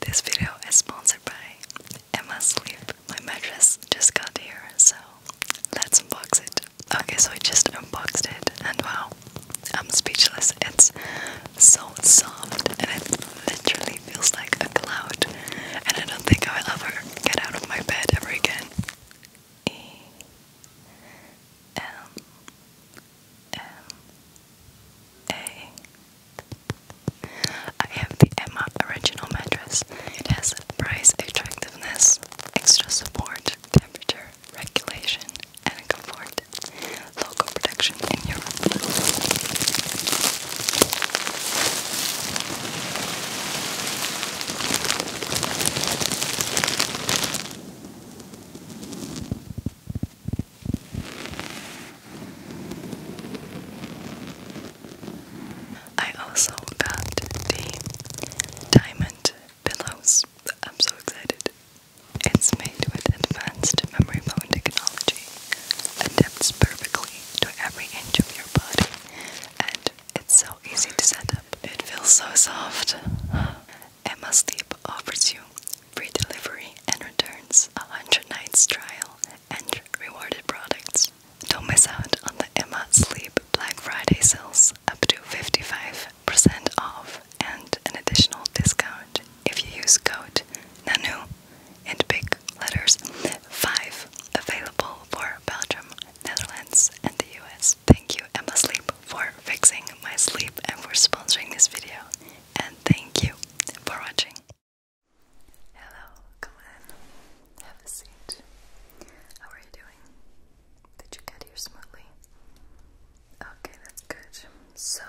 This video is sponsored by Emma Sleep. My mattress just got here, so let's unbox it. Okay, so I just unboxed it, and wow, I'm speechless. It's so soft, and it literally feels like a cloud. And I don't think I will ever get out of my bed ever again. E M M Hey. have the Emma original mattress. It has price attractiveness, extra support, temperature regulation, and comfort. Local production in Europe. I also got the diamond pillows. I'm so excited. It's made with advanced memory foam technology, adapts perfectly to every inch of your body, and it's so easy to set up. It feels so soft. Emma Sleep offers you free delivery and returns, a 100 nights trial, and rewarded products. Don't miss out on the Emma Sleep Black Friday sales, up to 55% off and an additional discount if you use code NANU in big letters 5, available for Belgium, Netherlands, and the US. Thank you Emma Sleep for fixing my sleep and for sponsoring this video. And thank you for watching. Hello, come in. Have a seat. How are you doing? Did you get here smoothly? Okay, that's good. So,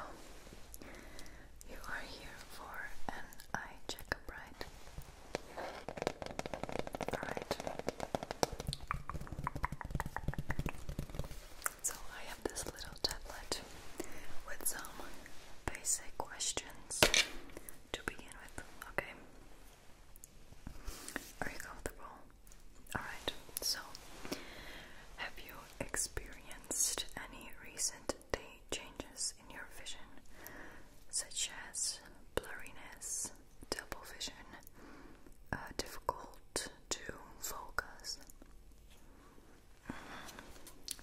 you are here for an eye checkup, right? Alright. So, I have this little tablet with some basic questions to begin with, okay? Are you comfortable? Alright, so have you experienced any recent day changes in your vision, such as blurriness, double vision, uh, difficult to focus?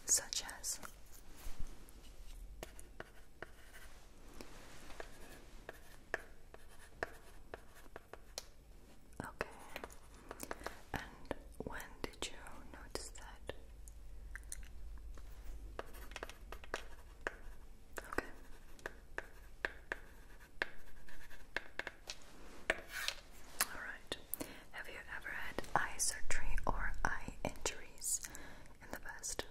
such as Okay. And when did you notice that? Okay. Alright. Have you ever had eye surgery or eye injuries in the past?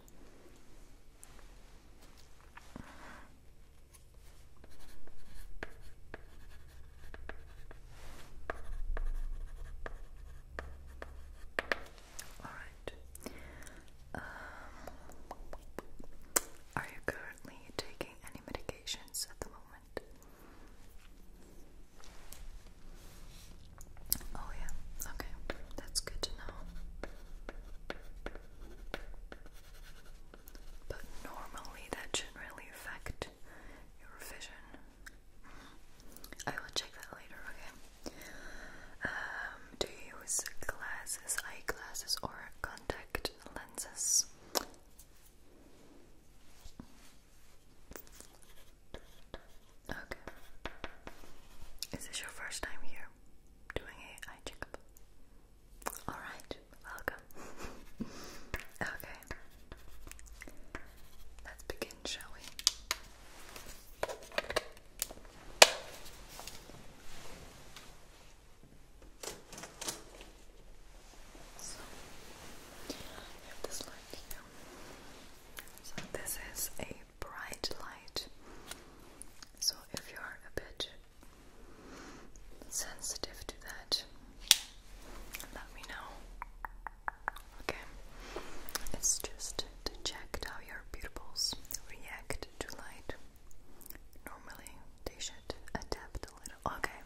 Alright. Um, are you currently taking any medications at the moment? Oh, yeah, okay, that's good to know. But normally that should really affect your vision. Mm-hmm. I will check that later, okay? Um, do you use glasses, eyeglasses, or contact lenses? Okay. Is this your first time here doing a eye checkup? Alright, welcome. okay. Let's begin, shall we? So I have this light here. So this is a bright light. So if you're a bit sensitive to that, let me know. Okay. It's just to check how your pupils react to light. Normally, they should adapt Okay.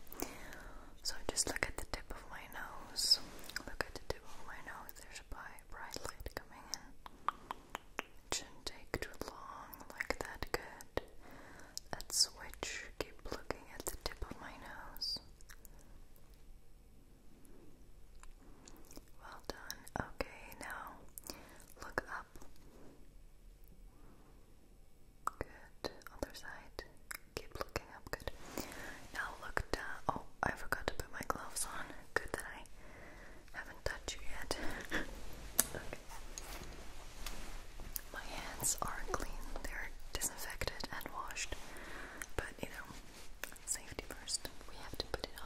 So just look at the tip of my nose. Look at the tip of my nose. There's bright light coming in. shouldn't take too long. Like that. Good. Let's switch. Keep looking at the tip of my nose. Well done. Okay, now look up. Good. Other side. Keep looking up. Good. Now look Oh, I forgot to put my gloves on. Good that I haven't touched you yet. okay. My hands are clean. They're disinfected and washed. But you know, safety first. We have to put it on.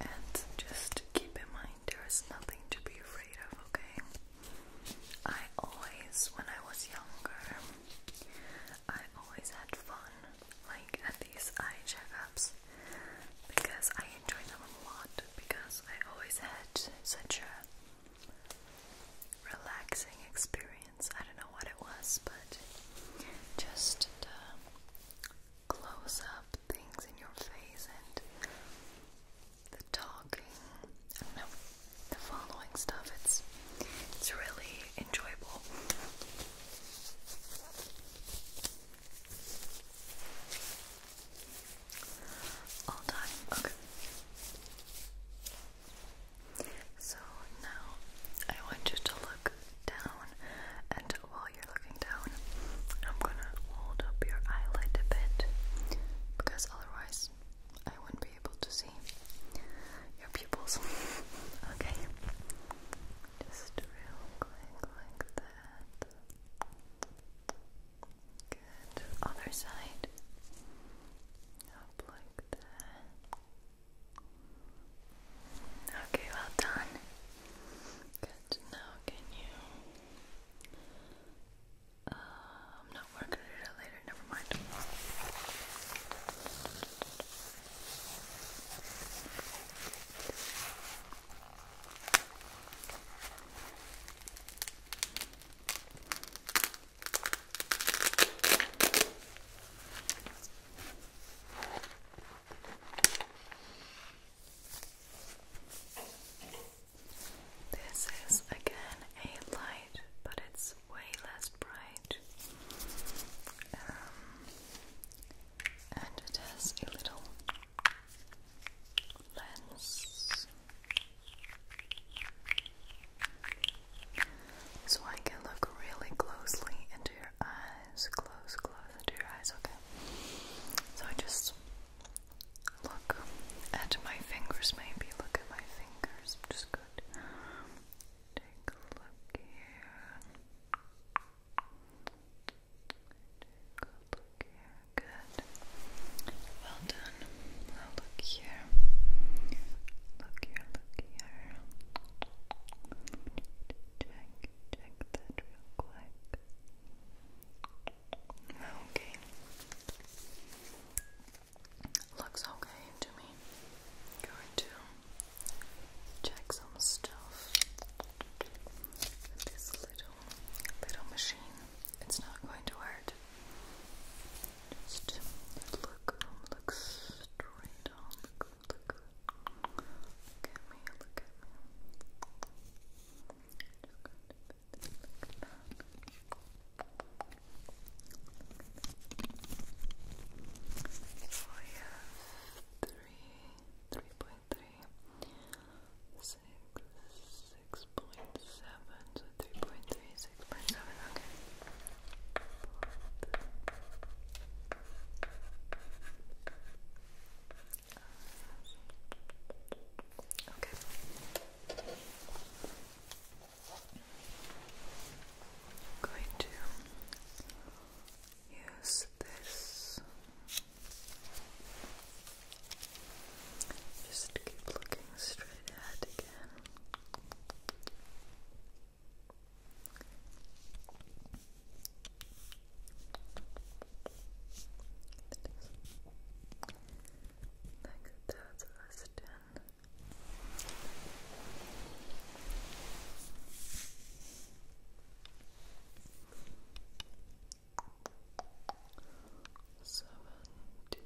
And just keep in mind there is nothing to be afraid of, okay? I always, when I was younger, I always had fun, like at these eye checkups, because I enjoyed them a lot. Because I always had such a relaxing experience. I don't know what it was, but just uh, close up things in your face and the talking and no, the following stuff it's it's really enjoyable. All done. Okay. So now I want you to look down and while you're looking down, I'm gonna hold up your eyelid a bit because otherwise I wouldn't be able to see your pupils. okay, just real quick like that. Good. Other side. Up like that. Okay, well done. Good. Now, can you? Um, uh, no, we're gonna later. Never mind. This is again a light, but it's way less bright. Um, and it has a little lens. So I can look really closely into your your eyes. Close, close into your eyes, okay? So I just look at my fingers, maybe. Look at my fingers. just good. Take a look here. Take look here. Good. Well done. look here. Look here, look here check, check that real quick. Okay. Looks okay to me. Going to check some stuff. This little, little machine. It's not going to hurt. Just look, look straight look, look we have three, three point three, six, six point seven, so three point three, six point seven. Okay. Okay. i going to use this. Just keep looking straight ahead again. Like that's listed. Seventy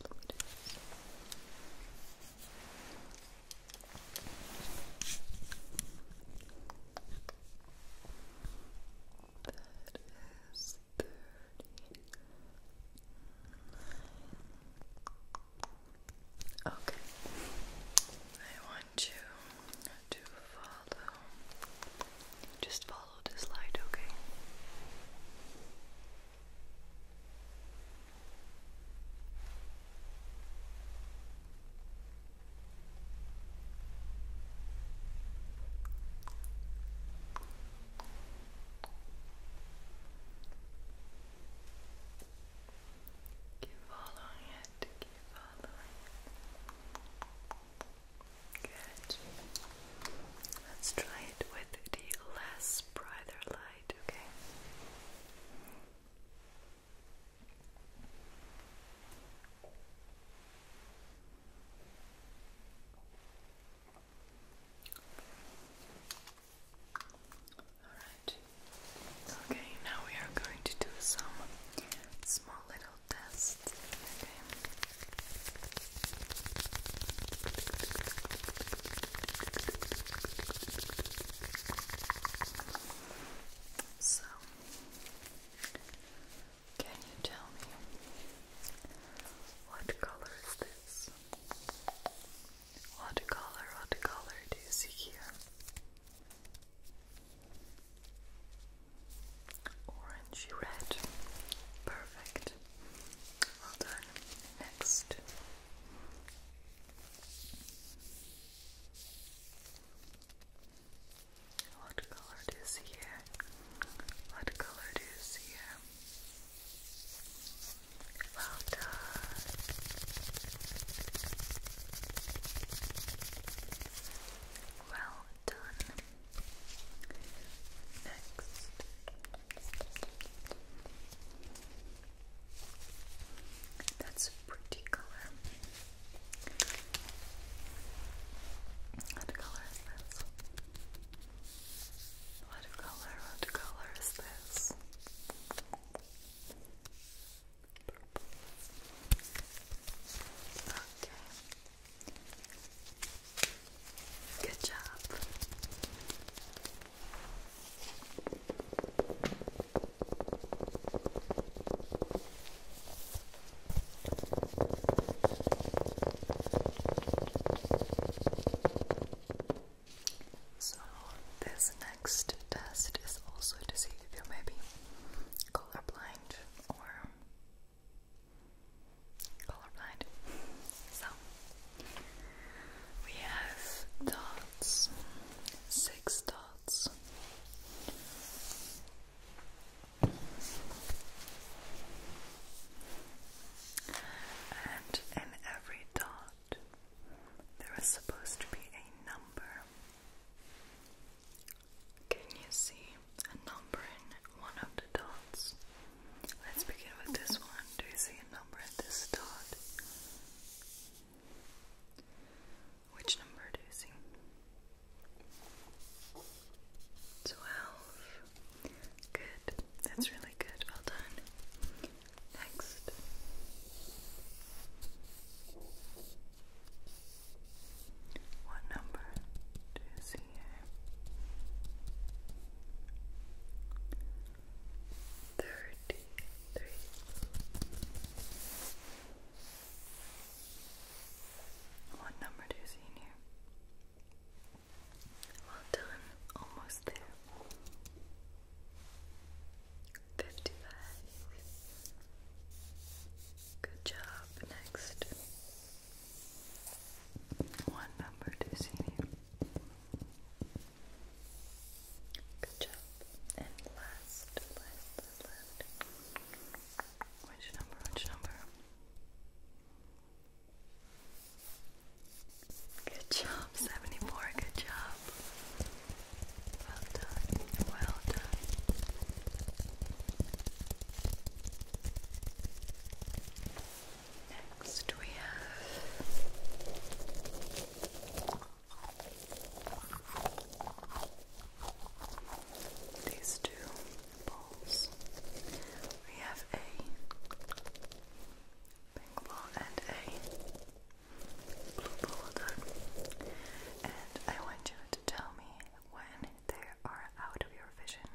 one is thirty nine. Okay. I want you to follow just follow this light, okay? Keep following it, keep following Good. Let's try it with the less brighter light, okay? Okay, now we are going to do some small little tests. So, can you tell me what color is this? What color, what color do you see here? Orangey red. Perfect. Well done. Next. What color do you see What color do you see Well done. Well done. Next. That's a pretty color. What color is this? What color, what color is this? Purple. Okay. Good job. So, this next test is also to see if you're maybe colorblind or colorblind. So, we have dots, six dots. And in every dot, there is supposed to be a number. Can you see a number in one of the dots? Let's begin with this one. Do you see a number in this dot? Which number do you see? Twelve. Good. That's really good. Well done. Next. What number do you see here? thirty-three. What number do see here? Well done, almost there. Fifty-five. Good job. Next, what number do see here? Good job. And last, last, last, Which number? Which number? Good job, 74. Good job. Well done. Well done. Next we have these two balls. We have a pink ball and a blue ball And I want you to tell me when they are out of your vision.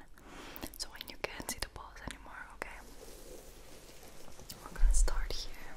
So when you can't see the balls anymore, okay? We're gonna start here.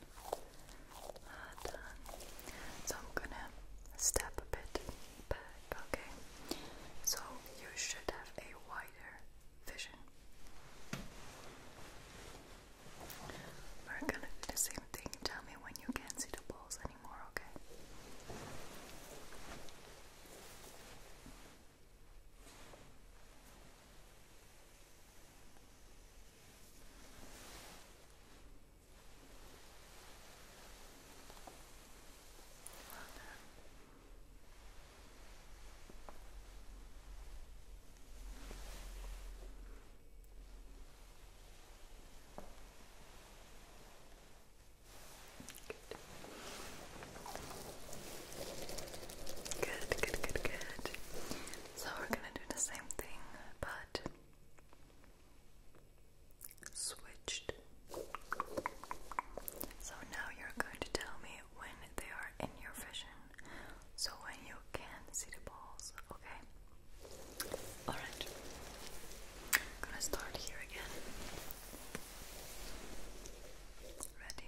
So I'm gonna step a bit back, okay? So you should have a wider vision. We're gonna do the same thing. Tell me when you can't see the balls anymore, Okay. Well done. Good. Good, good, good, good. So we're gonna do the same thing, but switched. So now you're going to tell me when they are in your vision, so when you can see the balls, okay? Alright, gonna start here again. Ready?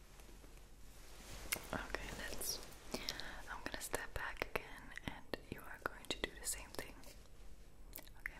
Okay, let's. I'm gonna step back again, and you are going to do the same thing. Okay.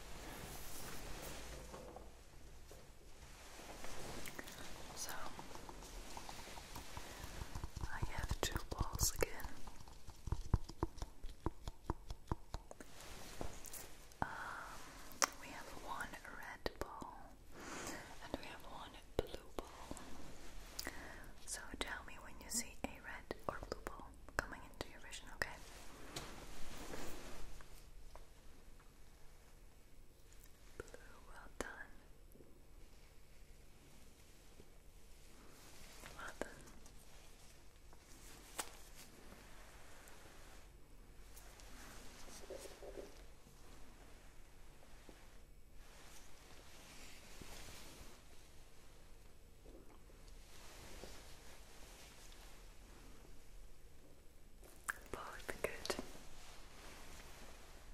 So I have two balls again. Um, we have one red ball and we have one blue ball. So tell me when you see a red or blue ball coming into your vision, okay? Blue, well done. Well both good.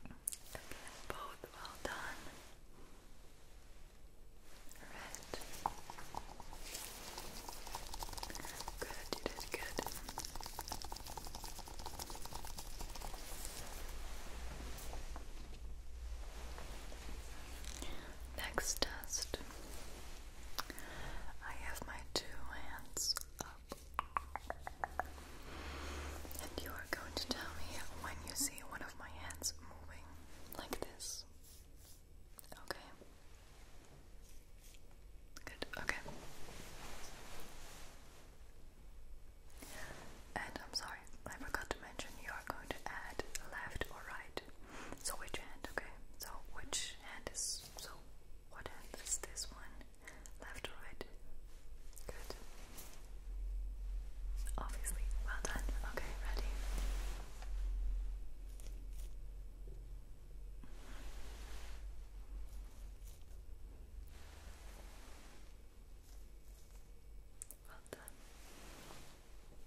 Okay, both well done. Red. Good, you did good. Next test. I have my two hands up. And you are going to tell me when you see one of my hands moving like this. Okay. Good. Okay. And I'm sorry, I forgot to mention you are going to add left or right. So which hand? Okay. So which hand is so? What hand is this one? Left or right? Good. Obviously, well done. Okay, ready. Well done.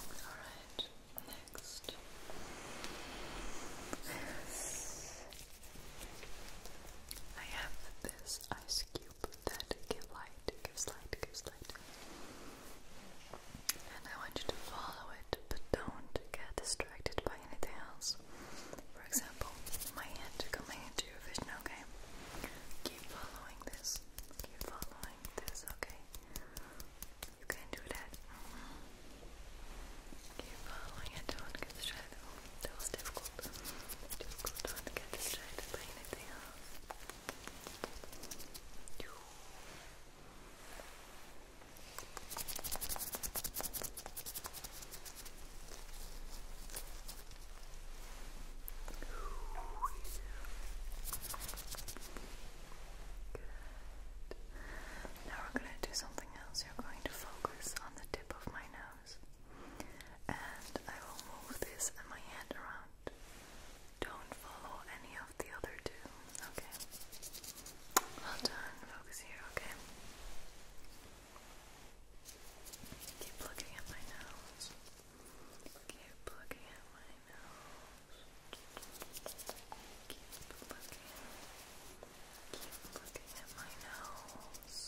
Alright, next. I have this ice cube that gives light, gives light, And I want you to follow it, but don't get distracted by anything else. For example, my hand, come my to okay? Keep following this. Keep following this, okay? You can do that. Mm-hmm. Keep following it. Don't get distracted. Oh, was difficult. Difficult. do get distracted by anything now we're going to do something else. You're going to focus on the tip of my nose. And I will move this and my hand around. Don't follow any of the other two. Okay. Well done. Focus here, okay? Keep looking at my nose. Keep looking at my nose. Keep looking. Keep looking at my nose.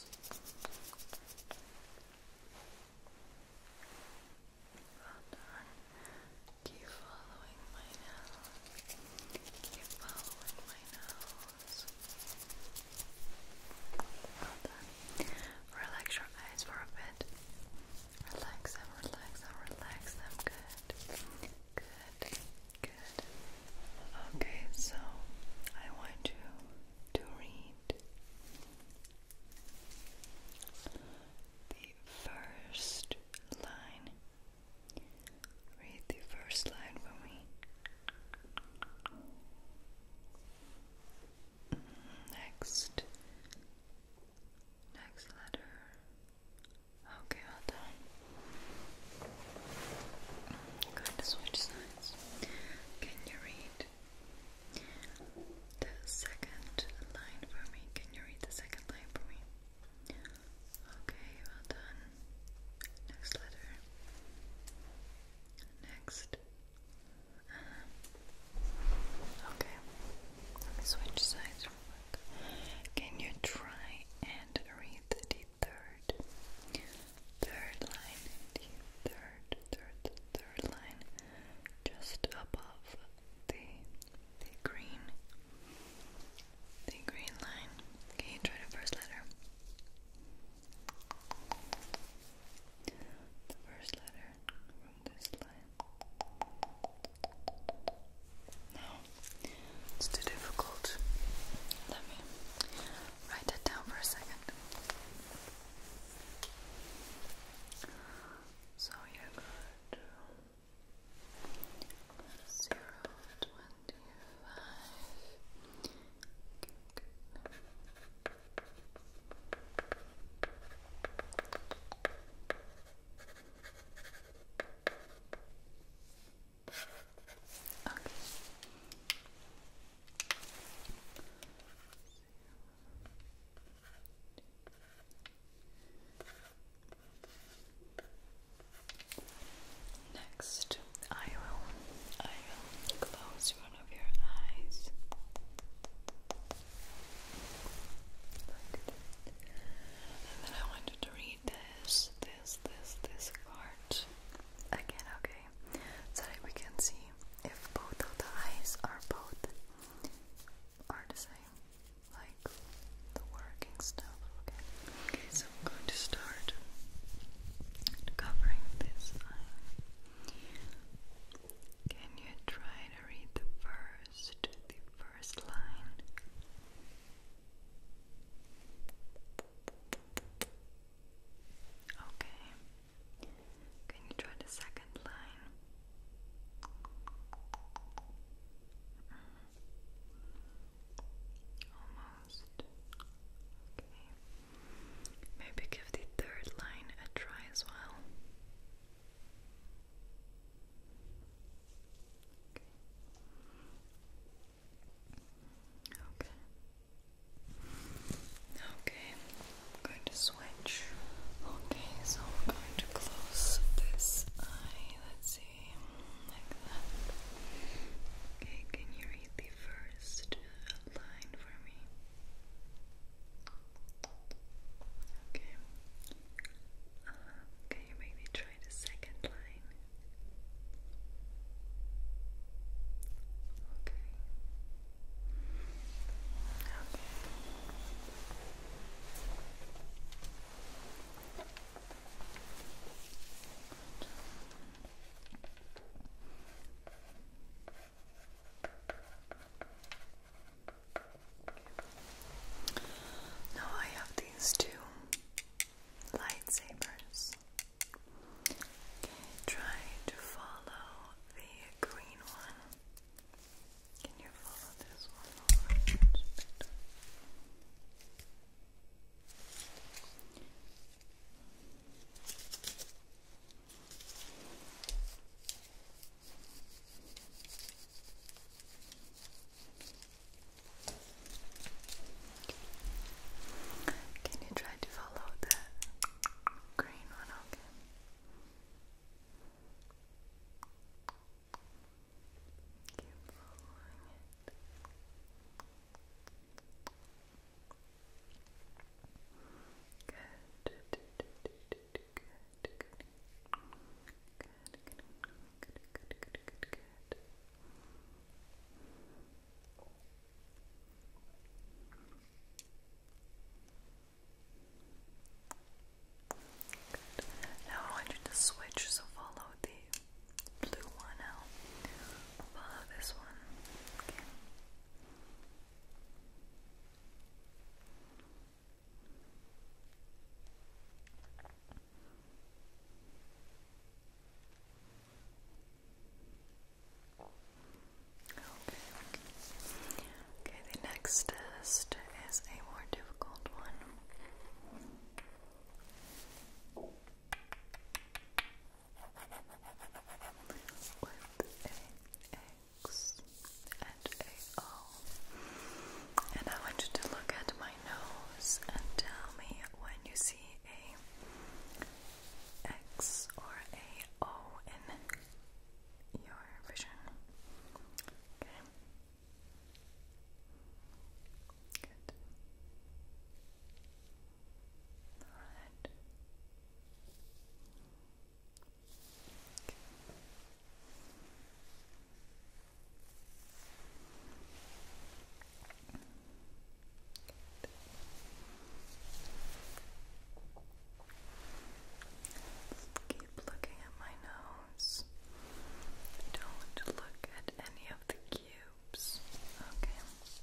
Well done. Keep following my nose. Keep following my nose. Relax your eyes for a bit. Relax them, relax them, relax them. Good. Good. Good. Okay, so I want you to read the first line. Read the first line for me. Next, next letter. Okay, well done. I'm going to switch sides. Can you read the second line for me? Can you read the second line for me? Okay, well done. Next letter. Um, Next. Okay. switch sides Can you try and read the third, third line, the third, third, third line, just above the the green, the green line? Can you try the first letter? The first letter from this line. No, it's too difficult. Let me write that down for a second. So you got uh, zero, twenty, five. Good, good. Okay. Next, I will I will close one of your eyes. And then I want you to read this, this, this, this card again, okay? So we can see if both of the eyes are both are the same. Like the working stuff, okay. I'm going to start covering this Can you try to read the first, the first line? Okay. Can you try the second line? Mm-hmm. Almost. Okay. Maybe give the third line a try as well. Okay. Okay. I'm going to switch. Okay, so I'm going to close this eye. Let's see. Like that. Okay, can you read the first line for me. Okay. Uh, can you maybe try the second line? Okay. Okay. Good. Now I have these two lightsabers. Okay, to follow the green one. Can you follow this one can you try to follow the green one? Okay. Keep following it. Good. Good. Good. Good. Good. Good. Good. Good. Good. Now I want you to switch, so follow the blue one out above this one. Okay. Okay. Okay, the next test is a more difficult one with a X and a O. And I want you to look at my nose and tell me when you see a X or a O in your vision. Okay. Good. Alright. Okay. Let's keep looking at my nose. Don't look at any of the cues loops. Okay. Both.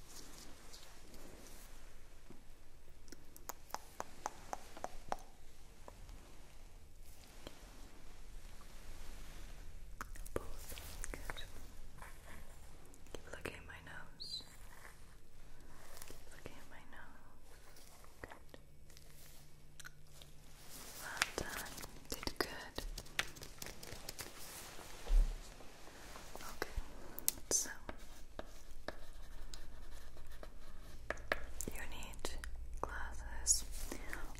Good. Keep looking at my nose. looking at my nose. Good. Well done. Did good. Okay, so you need glasses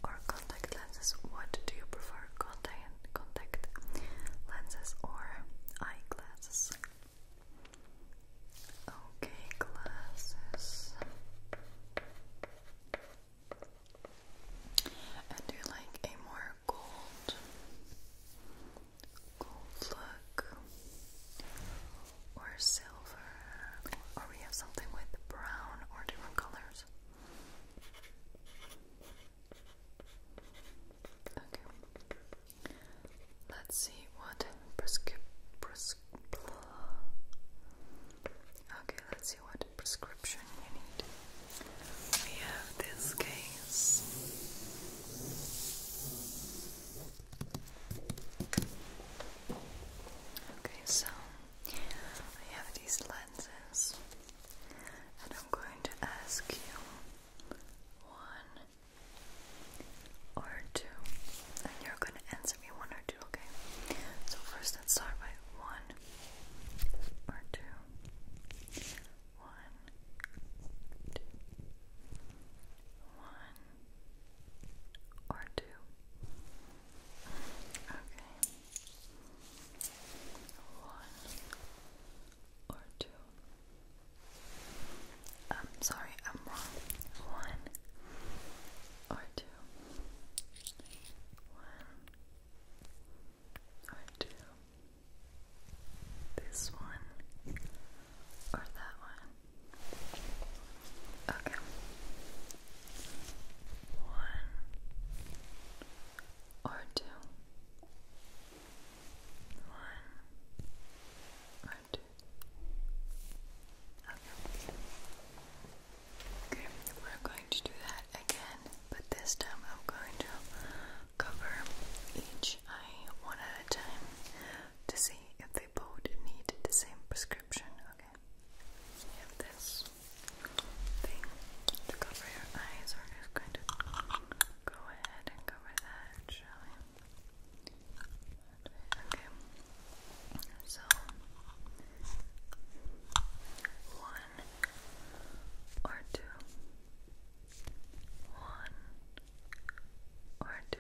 or contact lenses. What do you prefer? Contact lenses or eyeglasses? Okay, glasses and do like a more gold, gold look, or silver, or we have something with brown or different colors. Okay. Let's see what prescrip. Prescri okay, let's see what prescription you need. We have this case. Okay, so I have these lenses, and I'm going to ask you one or two, and you're going to answer me one or two, okay? So, first, let's start by one or two. One, two. One or two. Okay. One or two. I'm um, sorry, I'm wrong. One or two. One or do this one or that one. Okay. One or two. One or two. Okay. Okay, we're going to do that again, but this time I'm going to cover each eye one at a time to see if they both need the same prescription. Okay, so this thing to cover your eyes, we're just going to go ahead and cover that, shall we? Okay, so one or two. One or two.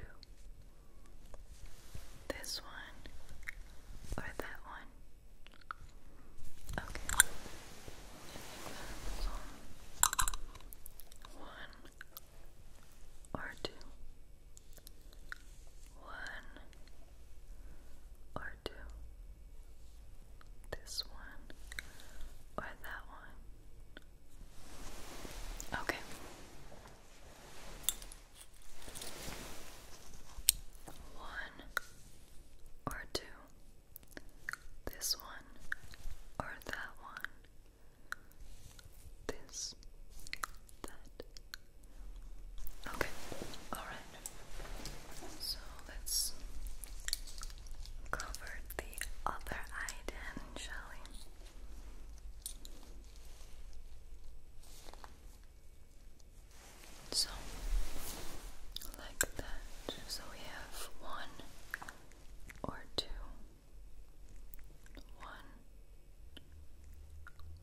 This one or that one. Okay. One or two. One or two this one or that one? Okay. One or two. This one or that one. This, that. Okay, alright. So let's cover the other eye then, shall we? So, like that. So we have one or two, one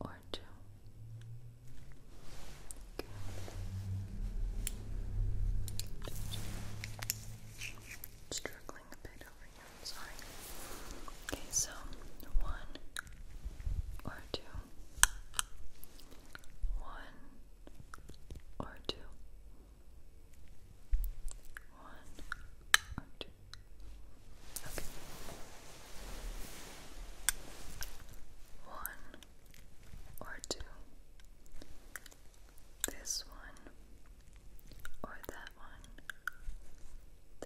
or two, Struggling a bit over here, sorry. Okay, so one or two. One or two. One or two. Okay. One or two, this one or that one,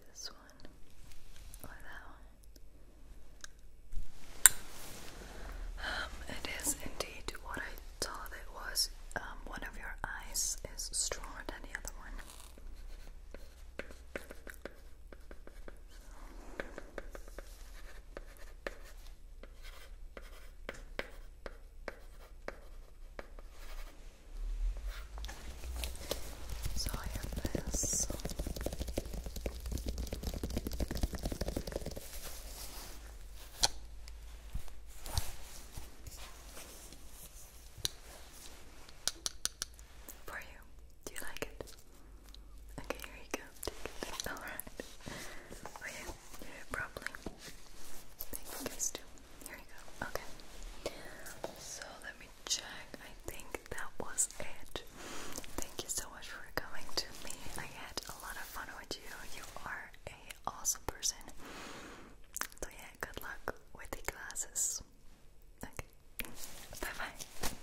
this one or that one. Um, it is indeed what I thought it was. Um, one of your eyes is stronger than the other one. So I have For you, do you like it? Okay, here you go. Alright. Oh yeah, you did Thank you Here you go. Okay. So let me check. I think that was it. Thank you so much for coming to me. I had a lot of fun with you. You are an awesome person. So yeah, good luck with the classes. Okay. Bye bye.